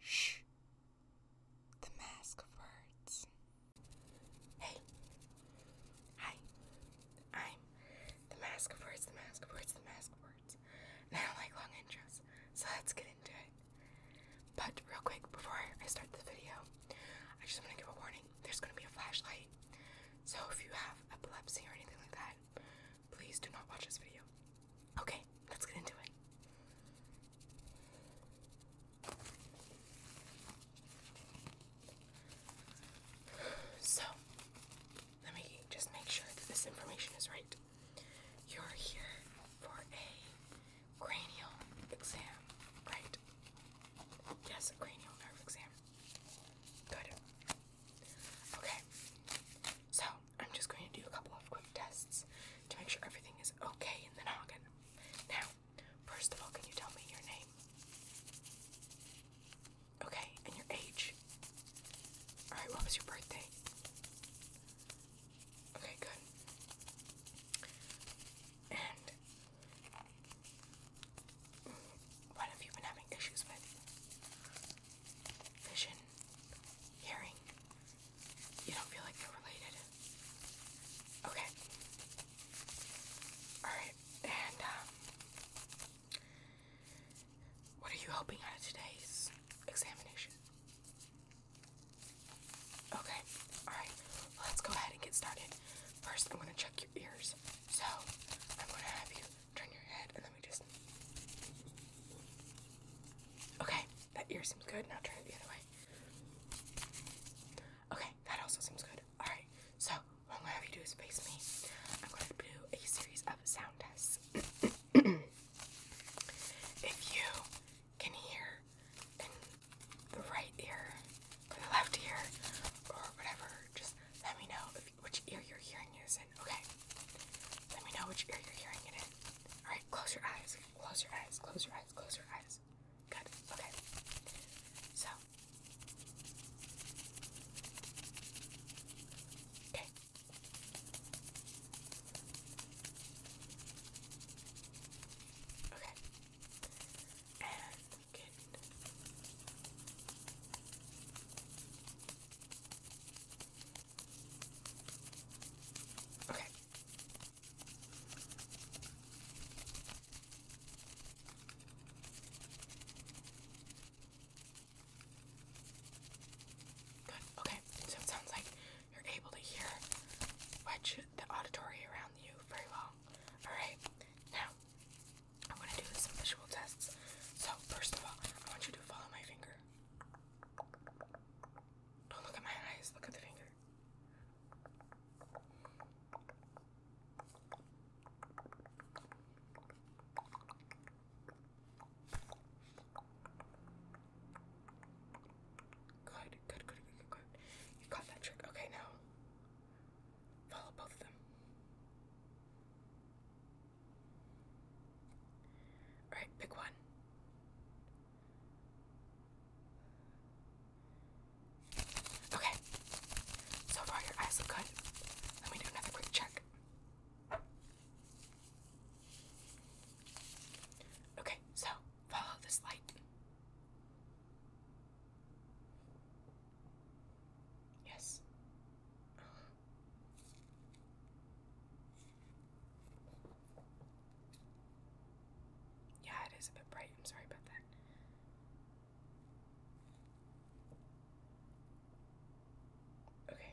Shh. The Mask Words. Hey. Hi. I'm the Mask Words, the Mask Words, the Mask Words. And I don't like long intros, so let's get into it. But real quick, before I start the video, I just want to give a warning. There's going to be a flashlight. So if you have epilepsy or anything like that, Please do not watch this video. Okay, let's get into it. So, let me just make sure that this information is right. You're here for a cranial exam, right? Yes, cranial nerve exam. Good. Okay. So, I'm just going to do a couple of quick tests to make sure everything is okay in the noggin. Now, first of all, can you tell me your name? Okay, and your age? Alright, what was your birthday? Okay, good. And what have you been having issues with? Vision, hearing. You don't feel like they're related. Okay. Alright, and um, what are you hoping out of today's examination? Okay, alright, let's go ahead and get started. First, I'm gonna check your ears. So, I'm gonna have you turn your head and let me just. Okay, that ear seems good. Now turn it the other way. Okay, that also seems good. Alright, so what I'm gonna have you do is face me. I'm gonna do a series of sound tests. if you can hear the right ear, or the left ear, or whatever just let me know which ear you're hearing it in. Okay. Let me know which ear you're hearing it in. Alright, close your eyes. Close your eyes. Close your eyes. Close your eyes. Good. Okay. So. Okay. Okay weekend. Okay. Good. Okay. So it sounds like you're able to hear which the auditory around you very well. Alright, now I'm gonna do some visual tests. So, first of all, I want you to follow my finger. Don't look at my eyes, look at the finger. Good, good, good, good, good, good. You got that trick. Okay, now follow both of them. All right, pick one. Okay. So far, your eyes look good. Let me do another quick check. Okay, so follow this light. Yes. Yeah, it is a bit bright. I'm sorry about that. Okay.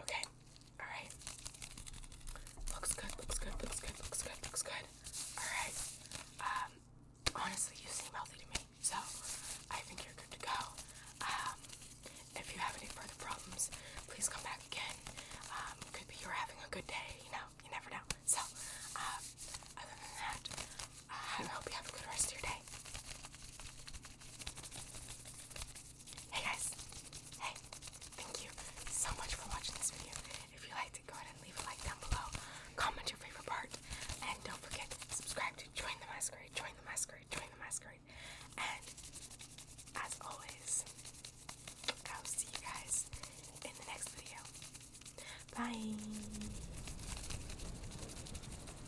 Okay, alright. Looks good, looks good, looks good, looks good, looks good. Alright. Um, honestly, you seem healthy to me, so I think you're good to go. Um, if you have any further problems, please come back again. Um, could be you're having a good day, you know, you never know. So, um, other than that, uh, I hope you have a good rest of your day. Hey guys, hey, thank you so much for watching this video. If you liked it, go ahead and leave a like down below. Comment your favorite part. And don't forget to subscribe to Join the Masquerade, Join the Masquerade, Join the Masquerade. And as always, I will see you guys in the next video. Bye.